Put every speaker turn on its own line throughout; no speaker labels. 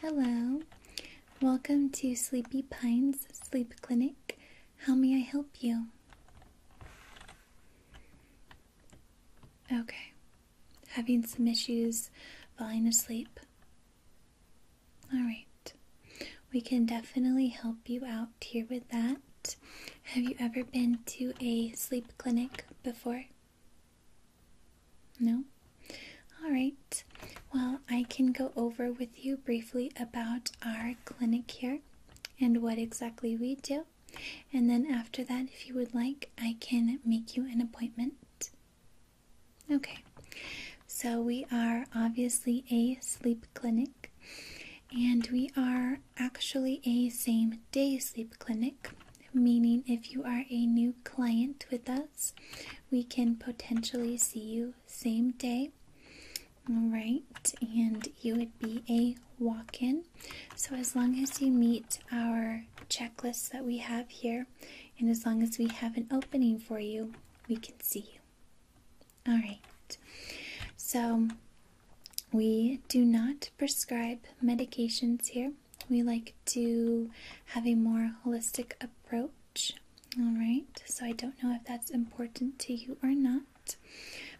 Hello, welcome to Sleepy Pines Sleep Clinic. How may I help you? Okay, having some issues falling asleep. Alright, we can definitely help you out here with that. Have you ever been to a sleep clinic before? No? All right. Well, I can go over with you briefly about our clinic here and what exactly we do. And then after that, if you would like, I can make you an appointment. Okay. So we are obviously a sleep clinic and we are actually a same day sleep clinic meaning if you are a new client with us, we can potentially see you same day. All right, and you would be a walk in. So, as long as you meet our checklist that we have here, and as long as we have an opening for you, we can see you. All right, so we do not prescribe medications here we like to have a more holistic approach. All right, so I don't know if that's important to you or not,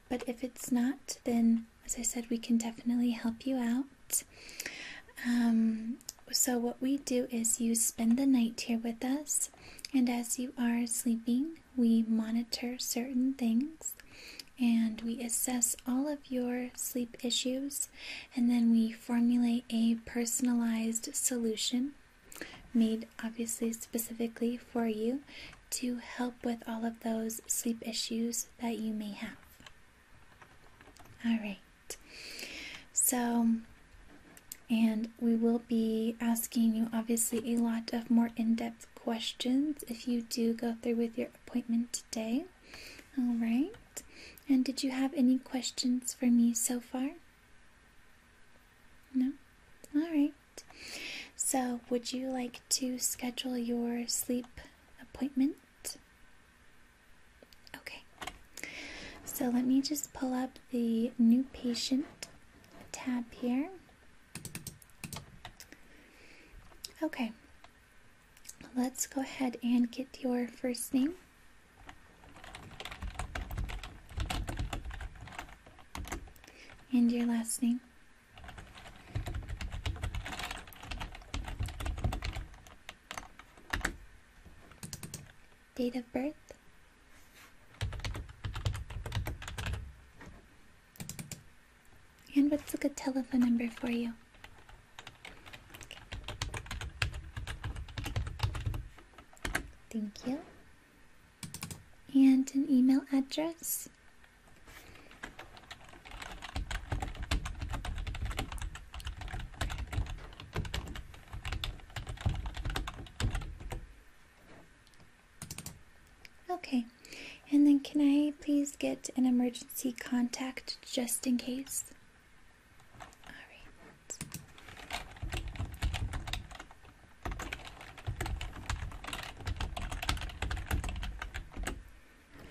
but if it's not, then as I said, we can definitely help you out. Um, so, what we do is you spend the night here with us, and as you are sleeping, we monitor certain things and we assess all of your sleep issues, and then we formulate a personalized solution made obviously specifically for you to help with all of those sleep issues that you may have. All right. So, and we will be asking you obviously a lot of more in depth questions if you do go through with your appointment today. All right. And did you have any questions for me so far? No? All right. So, would you like to schedule your sleep appointment? Okay. So, let me just pull up the new patient tab here. Okay let's go ahead and get your first name. And your last name. Date of birth. And what's a good telephone number for you? Thank you. And an email address. Okay. And then can I please get an emergency contact just in case?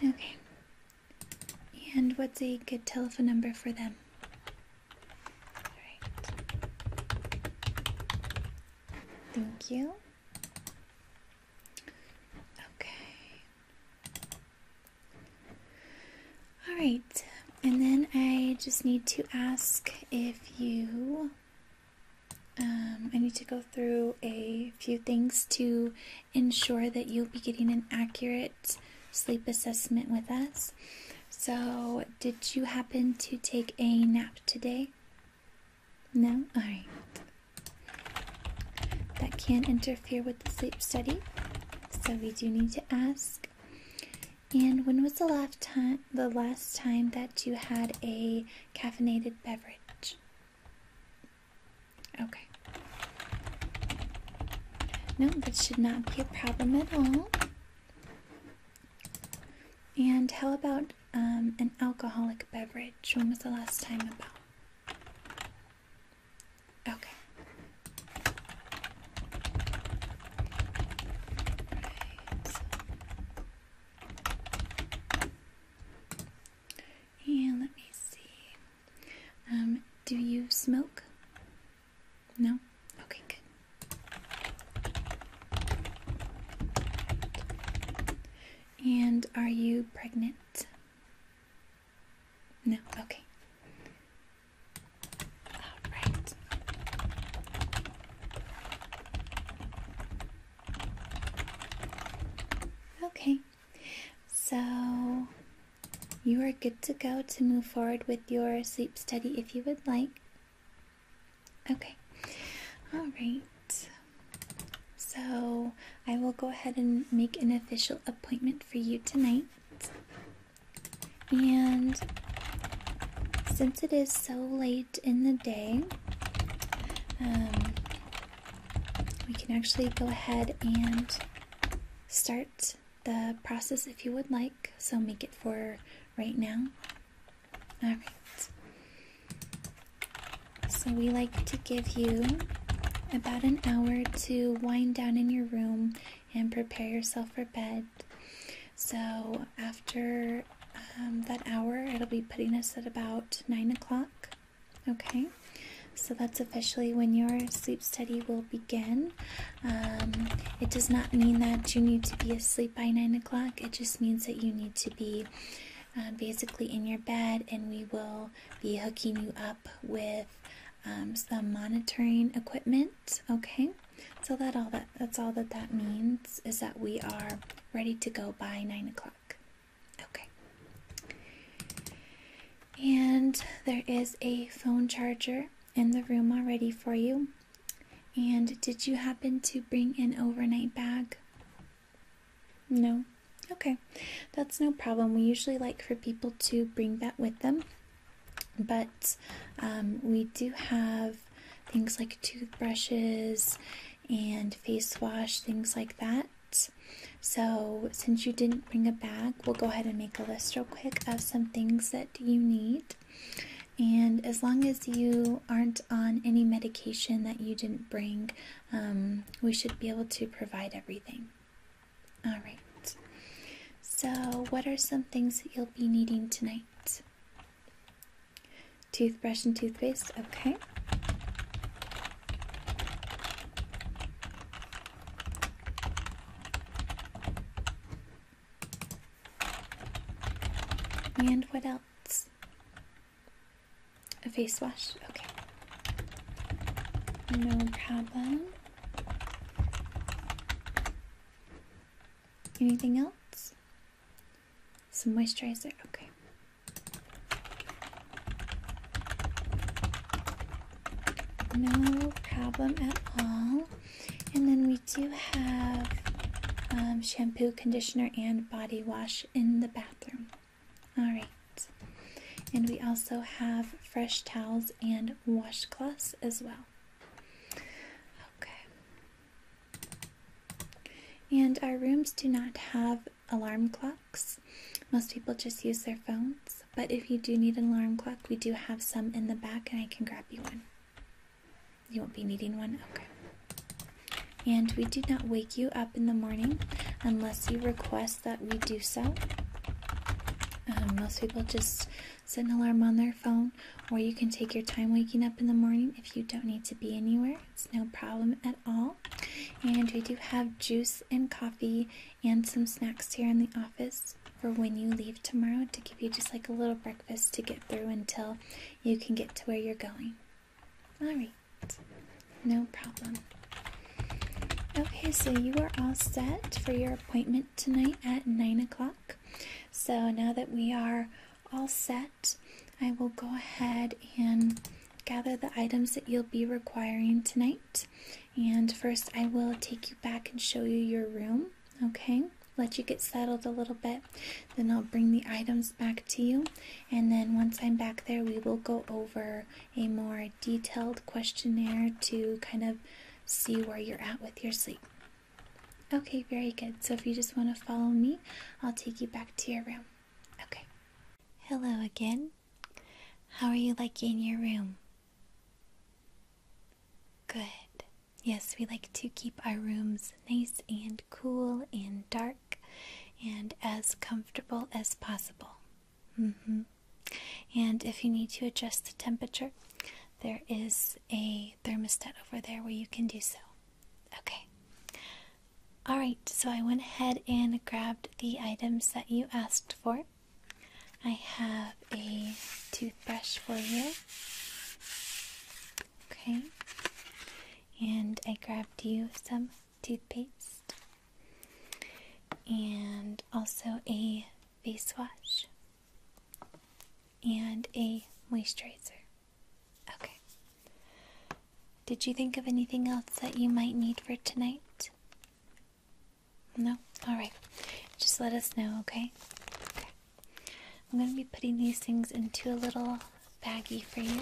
Okay. And what's a good telephone number for them? Thank you. Okay. All right, and then I just need to ask if you. Um, I need to go through a few things to ensure that you'll be getting an accurate sleep assessment with us. So, did you happen to take a nap today? No? Alright. That can not interfere with the sleep study, so we do need to ask. And when was the last time the last time that you had a caffeinated beverage? Okay. No, that should not be a problem at all. And how about um, an alcoholic beverage? When was the last time about? Okay. And let me see. Um, do you smoke? No? Okay, good. And are you pregnant? No? Okay. All right. Okay. So you are good to go to move forward with your sleep study if you would like. Okay. All right. So I will go ahead and make an official appointment for you tonight. And since it is so late in the day, um, we can actually go ahead and start the process if you would like. So make it for right now. Alright. So we like to give you about an hour to wind down in your room and prepare yourself for bed. So, after um, that hour, it'll be putting us at about 9 o'clock. Okay, so that's officially when your sleep study will begin. Um, it does not mean that you need to be asleep by 9 o'clock, it just means that you need to be. Uh, basically in your bed, and we will be hooking you up with with um, some monitoring equipment. Okay, so that all that that's all that that means is that we are ready to go by nine o'clock. Okay, and there is a phone charger in the room already for you. And did you happen to bring an overnight bag? No. Okay. That's no problem. We usually like for people to bring that with them, but um, we do have things like toothbrushes and face wash, things like that. So, since you didn't bring a bag, we'll go ahead and make a list real quick of some things that you need. And as long as you aren't on any medication that you didn't bring, um, we should be able to provide everything. All right. So, what are some things that you'll be needing tonight? Toothbrush and toothpaste. Okay. And what else? A face wash. Okay. No problem. Anything else? Some moisturizer? Okay. No problem at all. And then we do have um, shampoo, conditioner, and body wash in the bathroom. All right. And we also have fresh towels and washcloths as well. Okay. And our rooms do not have alarm clocks. Most people just use their phones, but if you do need an alarm clock, we do have some in the back and I can grab you one. You won't be needing one? Okay. And we do not wake you up in the morning unless you request that we do so. Um, most people just set an alarm on their phone, or you can take your time waking up in the morning if you don't need to be anywhere. It's no problem at all. And we do have juice and coffee and some snacks here in the office for when you leave tomorrow to give you just like a little breakfast to get through until you can get to where you're going. Alright, no problem. Okay, so you are all set for your appointment tonight at 9 o'clock. So now that we are all set, I will go ahead and gather the items that you'll be requiring tonight. And first, I will take you back and show you your room, okay? Let you get settled a little bit. Then I'll bring the items back to you. And then once I'm back there, we will go over a more detailed questionnaire to kind of see where you're at with your sleep. Okay, very good. So if you just want to follow me, I'll take you back to your room. Okay. Hello again. How are you liking your room? Good. Yes, we like to keep our rooms nice and cool and dark and as comfortable as possible. Mm -hmm. And if you need to adjust the temperature, there is a thermostat over there where you can do so. Okay. Alright, so I went ahead and grabbed the items that you asked for. I have a toothbrush for you. Okay. And I grabbed you some toothpaste. And also a face wash and a moisturizer. Okay. Did you think of anything else that you might need for tonight? No? Alright. Just let us know, okay? Okay. I'm going to be putting these things into a little baggie for you.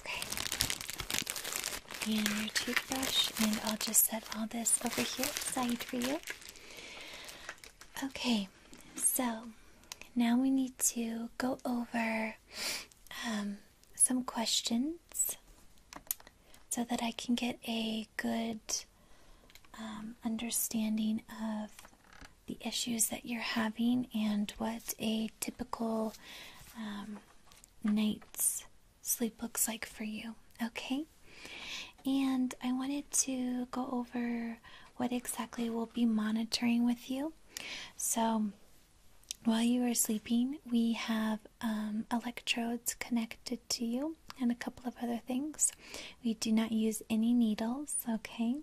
Okay. And your toothbrush, and I'll just set all this over here aside for you. Okay, so now we need to go over um, some questions so that I can get a good um, understanding of the issues that you're having and what a typical um, night's sleep looks like for you, okay? And I wanted to go over what exactly we'll be monitoring with you. So, while you are sleeping, we have um, electrodes connected to you and a couple of other things. We do not use any needles, okay?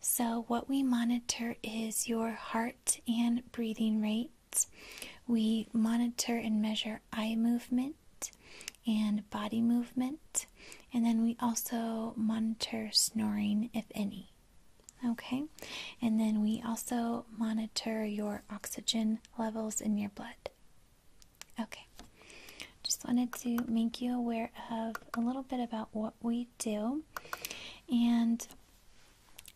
So, what we monitor is your heart and breathing rate we monitor and measure eye movement and body movement, and then we also monitor snoring, if any. Okay, and then we also monitor your oxygen levels in your blood. Okay, just wanted to make you aware of a little bit about what we do, and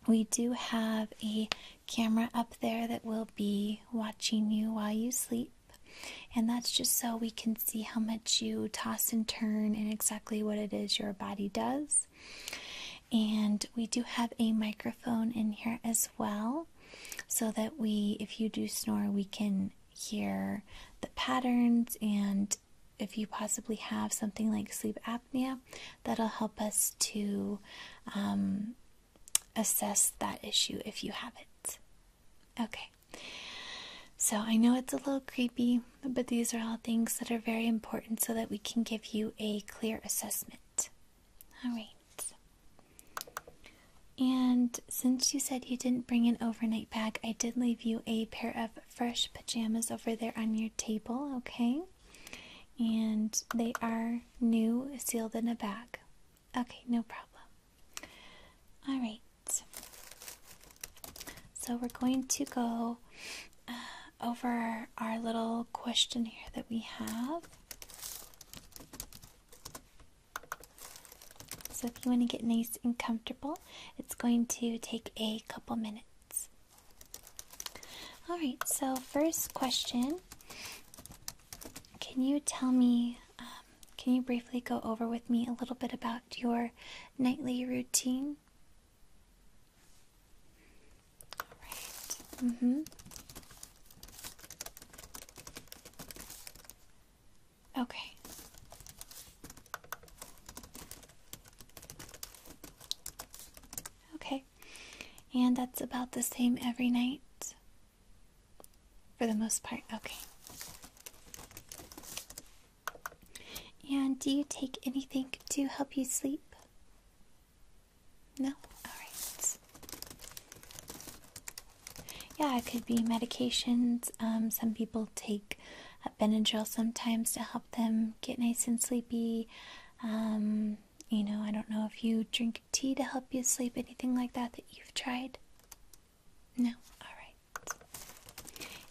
we do have a camera up there that will be watching you while you sleep, and that's just so we can see how much you toss and turn and exactly what it is your body does. And we do have a microphone in here as well, so that we, if you do snore, we can hear the patterns and if you possibly have something like sleep apnea yeah, that'll help us to um, assess that issue if you have it. Okay, so I know it's a little creepy, but these are all things that are very important so that we can give you a clear assessment. All right. And since you said you didn't bring an overnight bag, I did leave you a pair of fresh pajamas over there on your table, okay? And they are new, sealed in a bag. Okay, no problem. All right. So we're going to go uh, over our little questionnaire that we have. So if you want to get nice and comfortable, it's going to take a couple minutes. All right, so first question Can you tell me, um, can you briefly go over with me a little bit about your nightly routine? All right, mm Okay. And that's about the same every night? For the most part, okay. And do you take anything to help you sleep? No? Alright. Yeah, it could be medications. Um, some people take uh, Benadryl sometimes to help them get nice and sleepy. Um, you know, I don't know if you drink tea to help you sleep, anything like that that you've tried. No? Alright.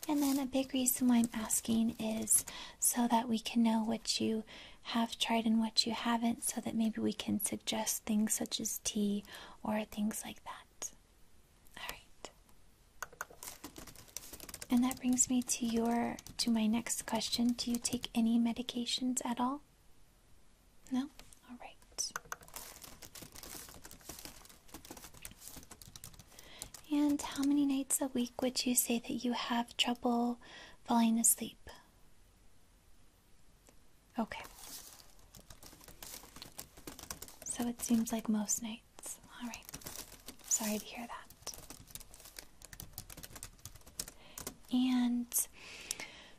And then a big reason why I'm asking is so that we can know what you have tried and what you haven't, so that maybe we can suggest things such as tea or things like that. Alright. And that brings me to your to my next question. Do you take any medications at all? No? All right. And how many nights a week would you say that you have trouble falling asleep? Okay. So it seems like most nights. All right. Sorry to hear that. And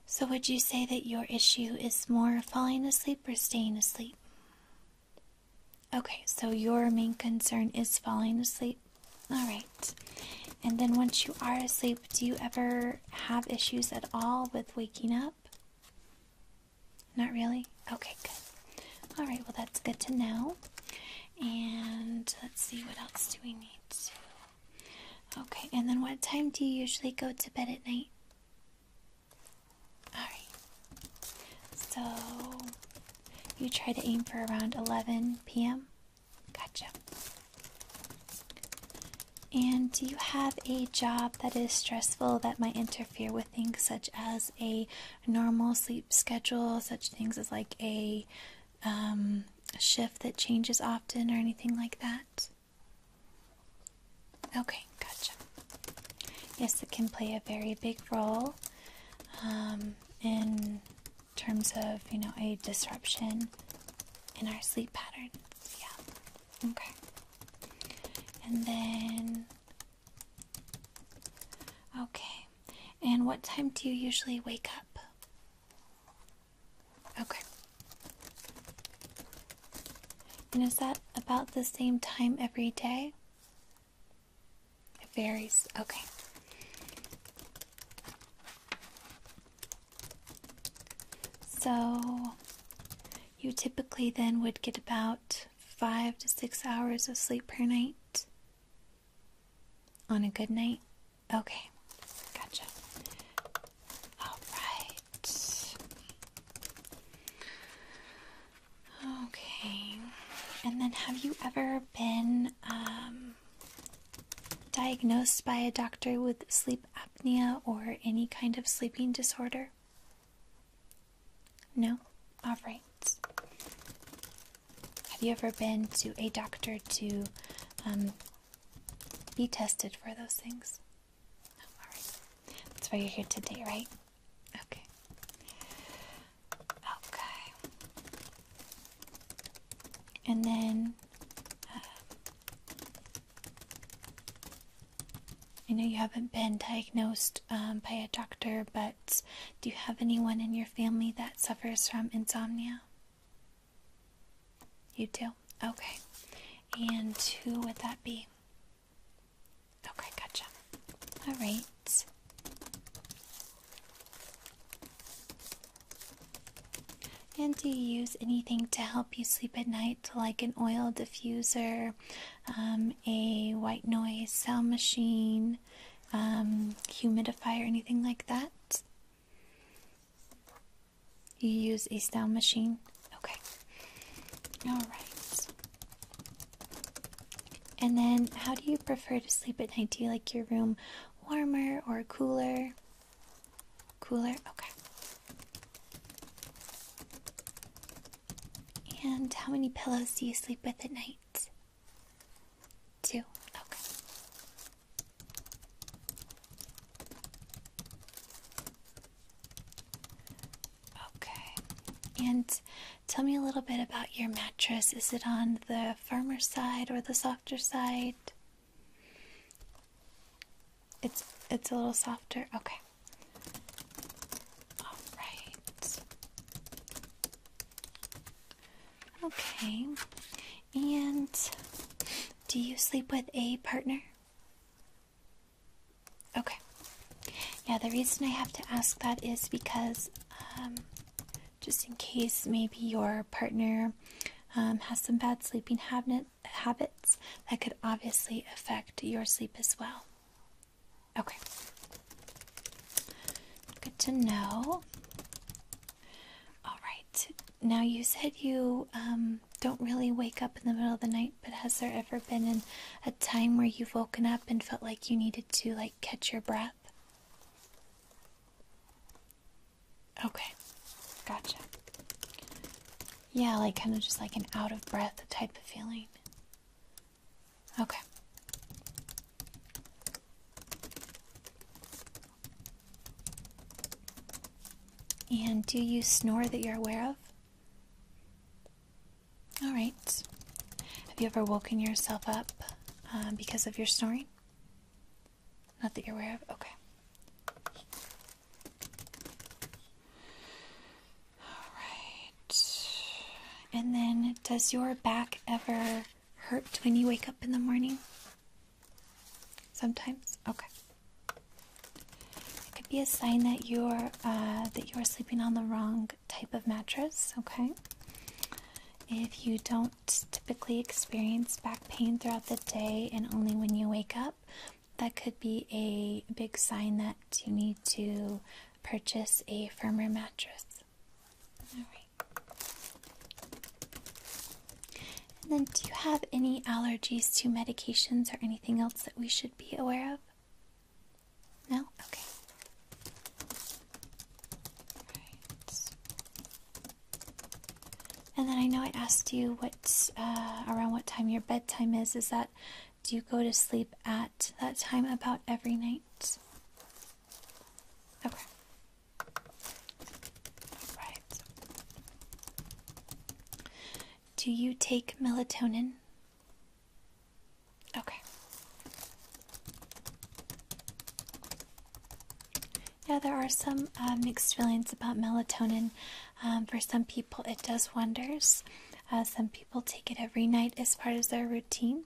so, would you say that your issue is more falling asleep or staying asleep? Okay, so your main concern is falling asleep. All right. And then, once you are asleep, do you ever have issues at all with waking up? Not really? Okay, good. All right, well, that's good to know. And let's see, what else do we need to? Okay, and then what time do you usually go to bed at night? Alright. So, you try to aim for around 11 p.m.? Gotcha. And do you have a job that is stressful that might interfere with things such as a normal sleep schedule, such things as like a um, shift that changes often or anything like that? Okay, gotcha. Yes, it can play a very big role um, in terms of, you know, a disruption in our sleep pattern. Yeah. Okay. And then, okay. And what time do you usually wake up? Okay. And is that about the same time every day? It varies. Okay. So you typically then would get about five to six hours of sleep per night. On a good night? Okay, gotcha. All right. Okay. And then, have you ever been um, diagnosed by a doctor with sleep apnea or any kind of sleeping disorder? No? All right. Have you ever been to a doctor to um, be tested for those things? That's why you're here today, right? Okay. Okay. And then uh, I know you haven't been diagnosed um, by a doctor, but do you have anyone in your family that suffers from insomnia? You do? Okay. And who would that be? Okay, gotcha. All right. And do you use anything to help you sleep at night, like an oil diffuser, um, a white noise sound machine, fan, um, humidifier, anything like that? You use a style machine? Okay. Alright. And then, how do you prefer to sleep at night? Do you like your room warmer or cooler? Cooler? Okay. And how many pillows do you sleep with at night? Two. Okay. Okay. And tell me a little bit about your mattress. Is it on the firmer side or the softer side? It's it's a little softer. Okay. All right. Okay. And do you sleep with a partner? Okay. Yeah, the reason I have to ask that is because um, just in case maybe your partner um, has some bad sleeping habits, that could obviously affect your sleep as well. Okay. Good to know. All right. Now you said you um, don't really wake up in the middle of the night, but has there ever been a time where you've woken up and felt like you needed to like catch your breath? Okay, gotcha. Yeah, like kind of just like an out of breath type of feeling. Okay. And do you snore that you're aware of? All right. Have you ever woken yourself up uh, because of your snoring? Not that you're aware of? Okay. All right. And then, does your back ever hurt when you wake up in the morning? Sometimes? Okay. It could be a sign that you're uh, that you're sleeping on the wrong type of mattress, okay? If you don't typically experience back pain throughout the day and only when you wake up, that could be a big sign that you need to purchase a firmer mattress. And then, do you have any allergies to medications or anything else that we should be aware of? No? Okay. And then I know I asked you what uh, around what time your bedtime is. Is that do you go to sleep at that time about every night? Okay. Do you take melatonin? Okay. Yeah, there are some uh, mixed feelings about melatonin. Um, for some people, it does wonders. Uh, some people take it every night as part of their routine.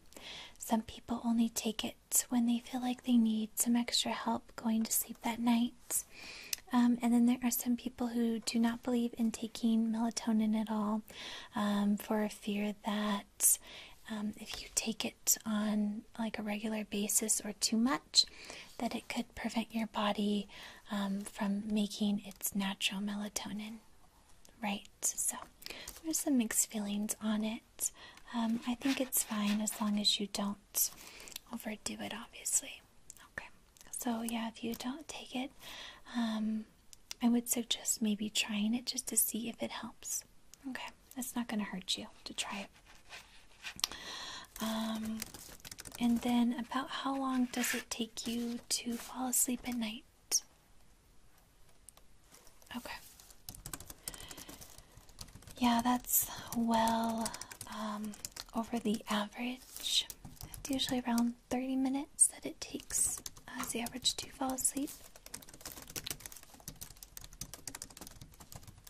Some people only take it when they feel like they need some extra help going to sleep that night. Um, and then there are some people who do not believe in taking melatonin at all um, for a fear that um, if you take it on like a regular basis or too much, that it could prevent your body from making its natural melatonin. Right, so there's some mixed feelings on it. Um, I think it's fine as long as you don't overdo it, obviously. Okay, so yeah, if you don't take it, um, I would suggest maybe trying it just to see if it helps. Okay, it's not going to hurt you to try it. Um, and then, about how long does it take you to fall asleep at night? Okay. Yeah, that's well um, over the average. It's usually around 30 minutes that it takes as uh, the average to fall asleep.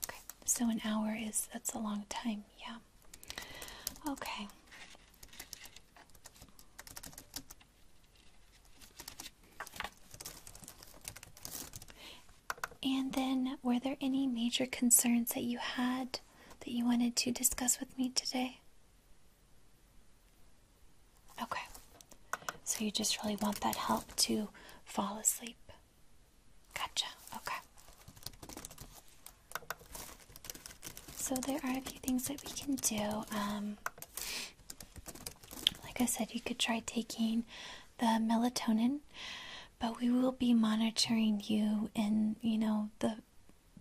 Okay, so an hour is that's a long time, yeah. Okay. And then, were there any major concerns that you had that you wanted to discuss with me today? Okay, so you just really want that help to fall asleep. Gotcha, okay. So, there are a few things that we can do. Um, like I said, you could try taking the melatonin, but we will be monitoring you in, you know, the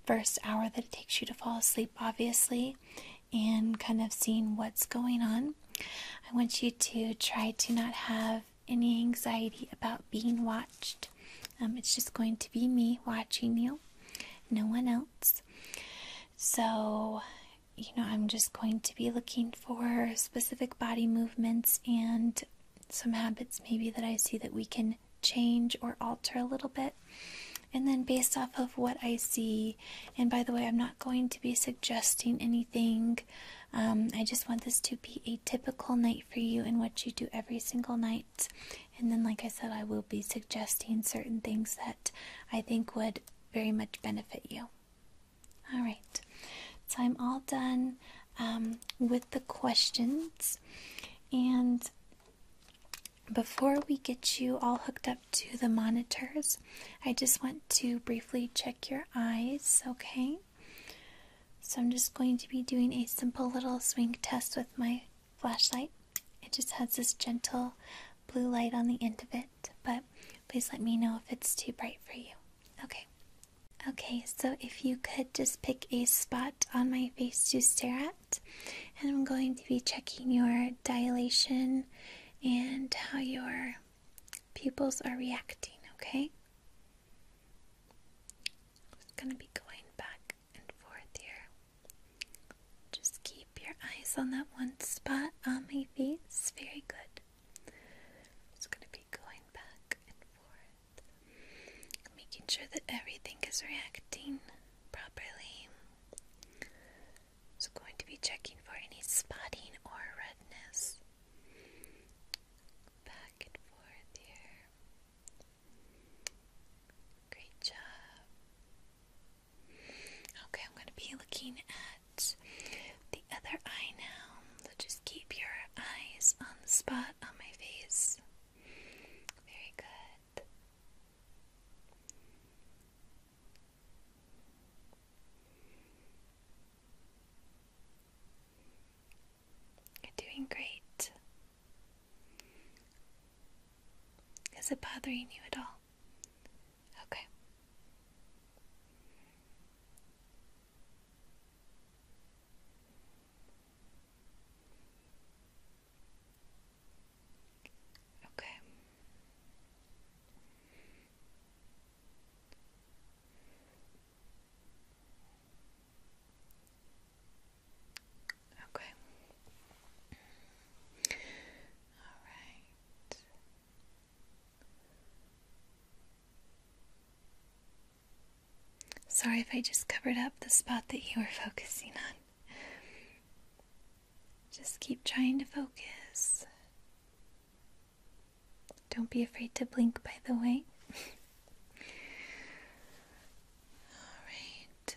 first hour that it takes you to fall asleep, obviously, and kind of seeing what's going on. I want you to try to not have any anxiety about being watched. Um, it's just going to be me watching you, no one else. So, you know, I'm just going to be looking for specific body movements and some habits maybe that I see that we can change or alter a little bit. And then, based off of what I see, and by the way, I'm not going to be suggesting anything. Um, I just want this to be a typical night for you and what you do every single night. And then, like I said, I will be suggesting certain things that I think would very much benefit you. All right, so I'm all done um, with the questions. And before we get you all hooked up to the monitors, I just want to briefly check your eyes, okay? So I'm just going to be doing a simple little swing test with my flashlight. It just has this gentle blue light on the end of it, but Please let me know if it's too bright for you. Okay. Okay, so if you could just pick a spot on my face to stare at, and I'm going to be checking your dilation and how your pupils are reacting, okay? just going to be going back and forth here. Just keep your eyes on that one spot on my face. Very good i going to be going back and forth, making sure that everything is reacting properly. So, going to be checking for any spotting or redness. Back and forth here. Great job. Okay, I'm going to be looking at the other eye now. So just keep your eyes on the spot on my face. Very good. You're doing great. Is it bothering you at all? Okay. Okay. Okay. All right. Sorry if I just covered up the spot that you were focusing on. Just keep trying to focus. Don't be afraid to blink, by the way. Alright.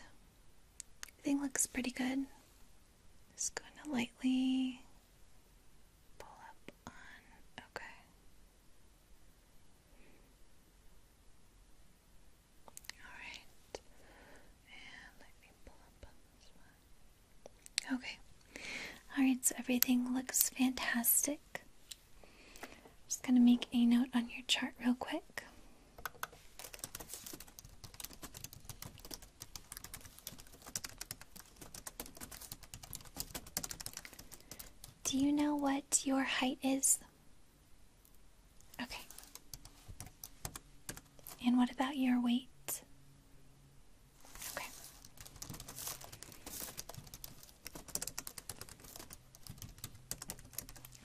Everything looks pretty good. Just going to lightly pull up on. Okay. Alright. And let me pull up on this one. Okay. Alright, so everything looks fantastic. just going to make a note on your chart real quick. Do you know what your height is? Okay. And what about your weight? Okay.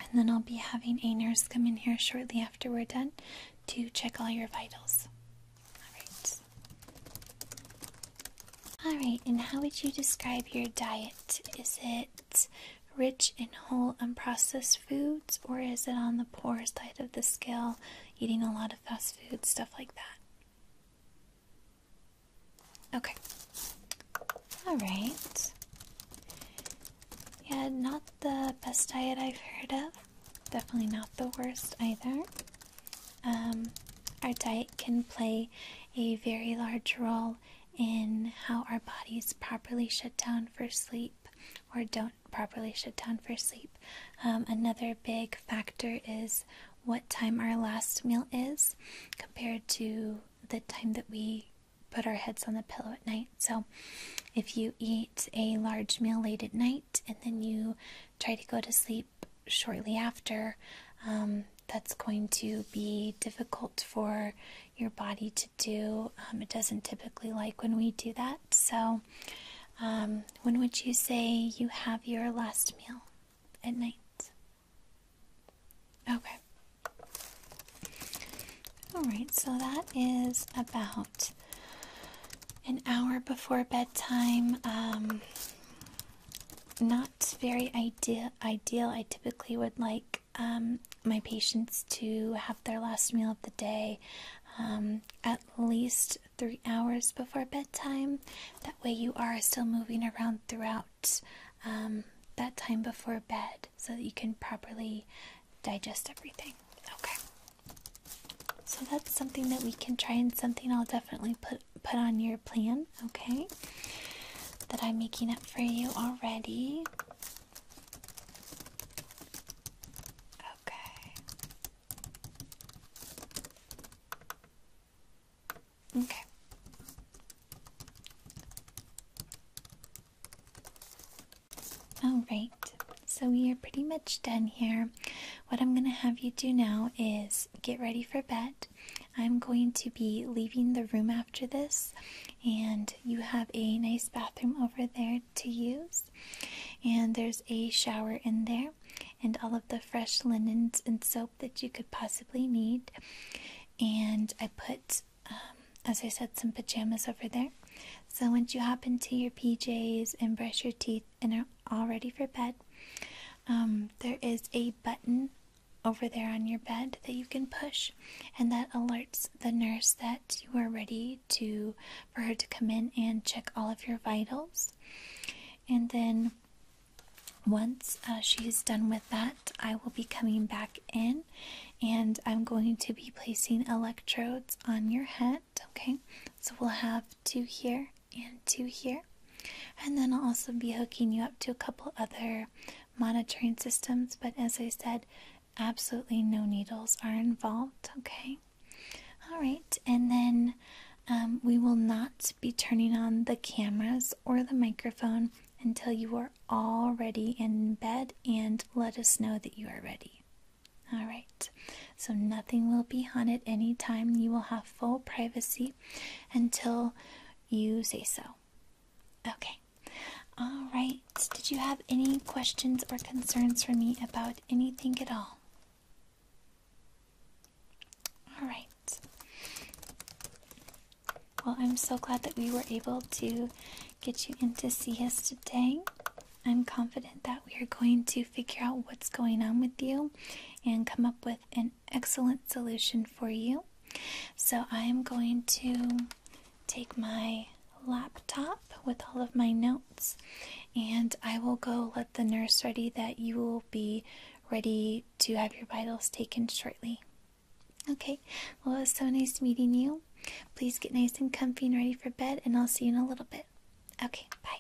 And then I'll be having a nurse come in here shortly after we're done to check all your vitals. All right. Alright, and how would you describe your diet? Is it rich in whole unprocessed foods, or is it on the poor side of the scale, eating a lot of fast food, stuff like that? Okay. Alright. Yeah, not the best diet I've heard of. Definitely not the worst either. Um, our diet can play a very large role in how our bodies properly shut down for sleep or don't properly shut down for sleep. Um, another big factor is what time our last meal is compared to the time that we put our heads on the pillow at night. So, if you eat a large meal late at night, and then you try to go to sleep shortly after, um, that's going to be difficult for your body to do. Um, it doesn't typically like when we do that. So, um, when would you say you have your last meal at night? Okay. All right, so that is about an hour before bedtime not very ideal. Ideal. I typically would like um, my patients to have their last meal of the day um, at least three hours before bedtime. That way, you are still moving around throughout um, that time before bed, so that you can properly digest everything. Okay. So that's something that we can try and something I'll definitely put put on your plan, okay? That I'm making up for you already. Okay. Okay. All right. So we are pretty much done here. What I'm going to have you do now is get ready for bed. I'm going to be leaving the room after this, and you have a nice bathroom over there to use. And there's a shower in there, and all of the fresh linens and soap that you could possibly need. And I put, um, as I said, some pajamas over there. So once you hop into your PJs and brush your teeth and are all ready for bed, um, there is a button over there on your bed that you can push, and that alerts the nurse that you are ready to for her to come in and check all of your vitals. And then once uh, she's done with that, I will be coming back in and I'm going to be placing electrodes on your head. Okay, so we'll have two here and two here. And then I'll also be hooking you up to a couple other monitoring systems, but as I said, absolutely no needles are involved, okay? All right, and then um, we will not be turning on the cameras or the microphone until you are all ready in bed and let us know that you are ready. All right. So nothing will be haunted anytime. You will have full privacy until you say so. Okay. All right. Did you have any questions or concerns for me about anything at all? All right. Well, I'm so glad that we were able to get you in to see us today. I'm confident that we are going to figure out what's going on with you and come up with an excellent solution for you. So, I am going to take my laptop with all of my notes and I will go let the nurse ready that you will be ready to have your vitals taken shortly. Okay, well, it was so nice meeting you. Please get nice and comfy and ready for bed, and I'll see you in a little bit. Okay, bye.